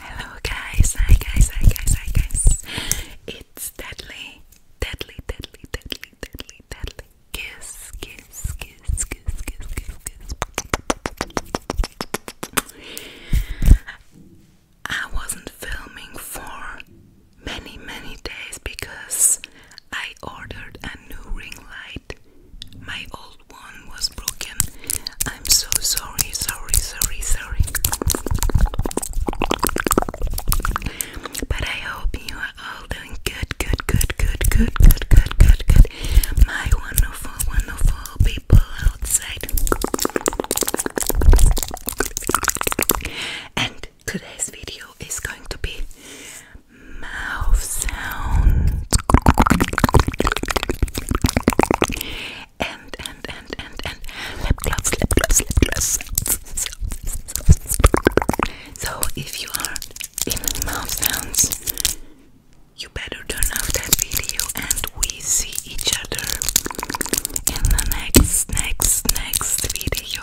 Hello guys, hi guys, hi guys, hi guys. It's deadly, deadly, deadly, deadly, deadly, deadly. Kiss, kiss, kiss, kiss, kiss, kiss, kiss. I wasn't filming for many, many days because I I ordered a new ring light. My old one was broken. I'm so sorry, sorry, sorry, sorry. But I hope you are all doing good, good, good, good, good, good, good, good, good. My wonderful, wonderful people outside. And today's video is going to be mouth sounds and and and and and so if you are in mouth sounds you better turn off that video and we see each other in the next next next video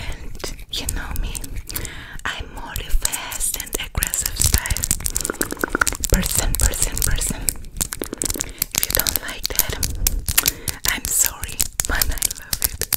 And you know me, I'm more fast and aggressive style person, person, person. If you don't like that, I'm sorry, but I love it.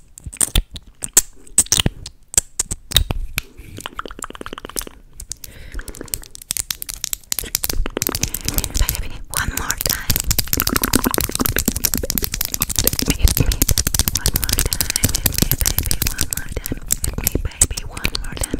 One more time. Hit me, hit me. One more time. Hit me, baby. One more time. Hit me, baby. One more time.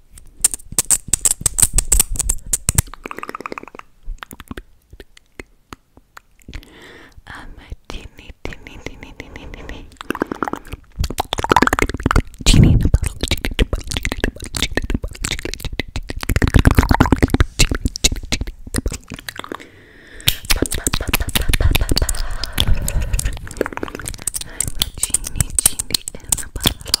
I'm a genie, genie, genie, genie, genie. Genie genie in a bottle, genie in a bottle, genie in a bottle, genie in genie I'm a genie, genie in a bottle.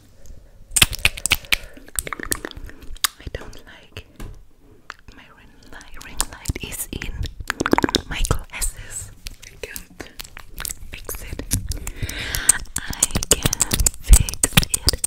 I don't like my ring light. is in my glasses. I can fix it. I can fix it.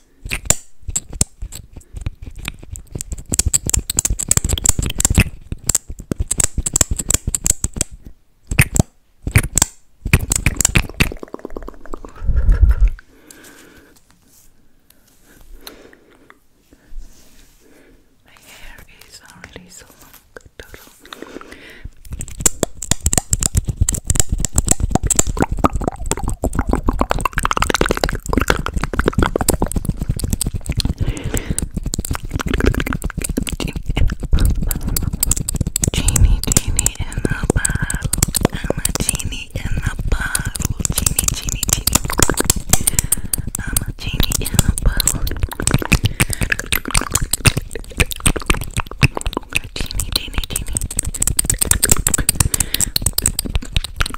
My hair is already so long, total. Genie, genie in the bottle. I'm a genie in the bottle. Genie, genie, genie. I'm a genie in the bottle. Genie, genie, genie.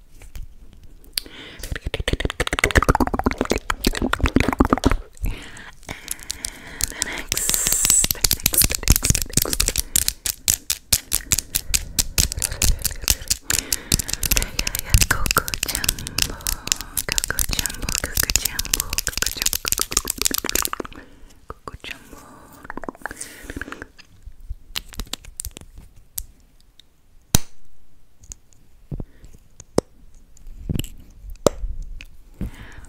the next, the next, the next, the next. Yeah, yeah, yeah. Coco Jumbo, Coco Jumbo, Coco Jumbo, Coco Jumbo, Coco Jumbo.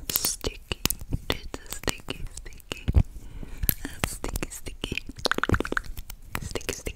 Sticky, it's sticky, sticky, sticky, sticky, sticky, sticky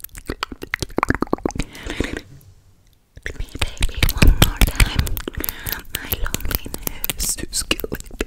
Me, baby, one more time. My loneliness is killing me.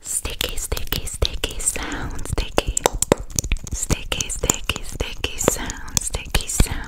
Sticky, sticky, sticky sound, sticky, sticky, sticky, sticky sound, sticky sound.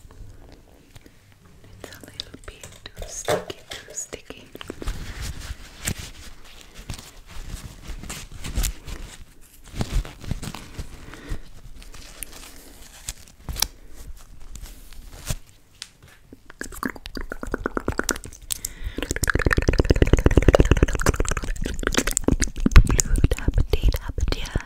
It's a little bit too sticky, too sticky. Good appetite, appetite.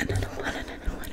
Another one, another one.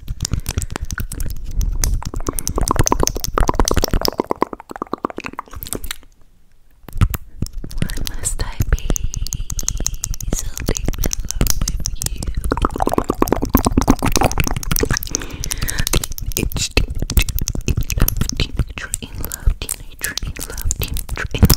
Why must I be so in love with you? It's teenager in love, teenager in love, teenager in love.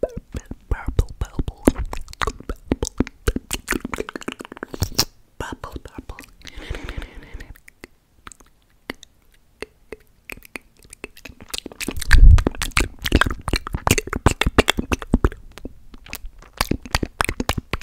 Purple, purple, purple, purple.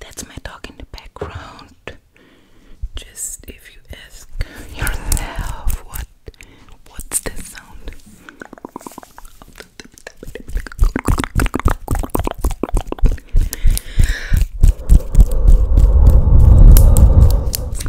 That's my dog in the background. Just if you ask yourself what what's the sound?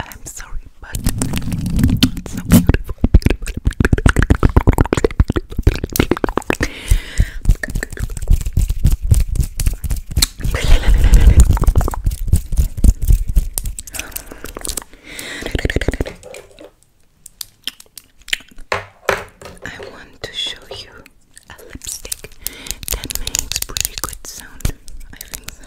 I'm sorry, but I want to show you a lipstick that makes pretty good sound. I think so.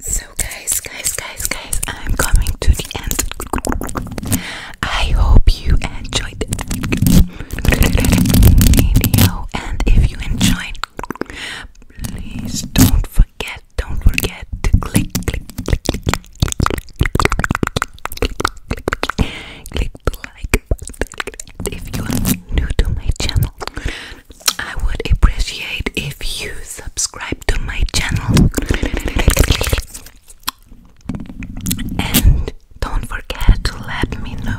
So guys, guys, guys, guys, I'm coming to the end. I hope you enjoyed the video and if you enjoyed Please don't forget, don't forget to click, click, click, click, click, click, click the like If you are new to my channel, I would appreciate if you subscribe to my channel. And don't forget to let me know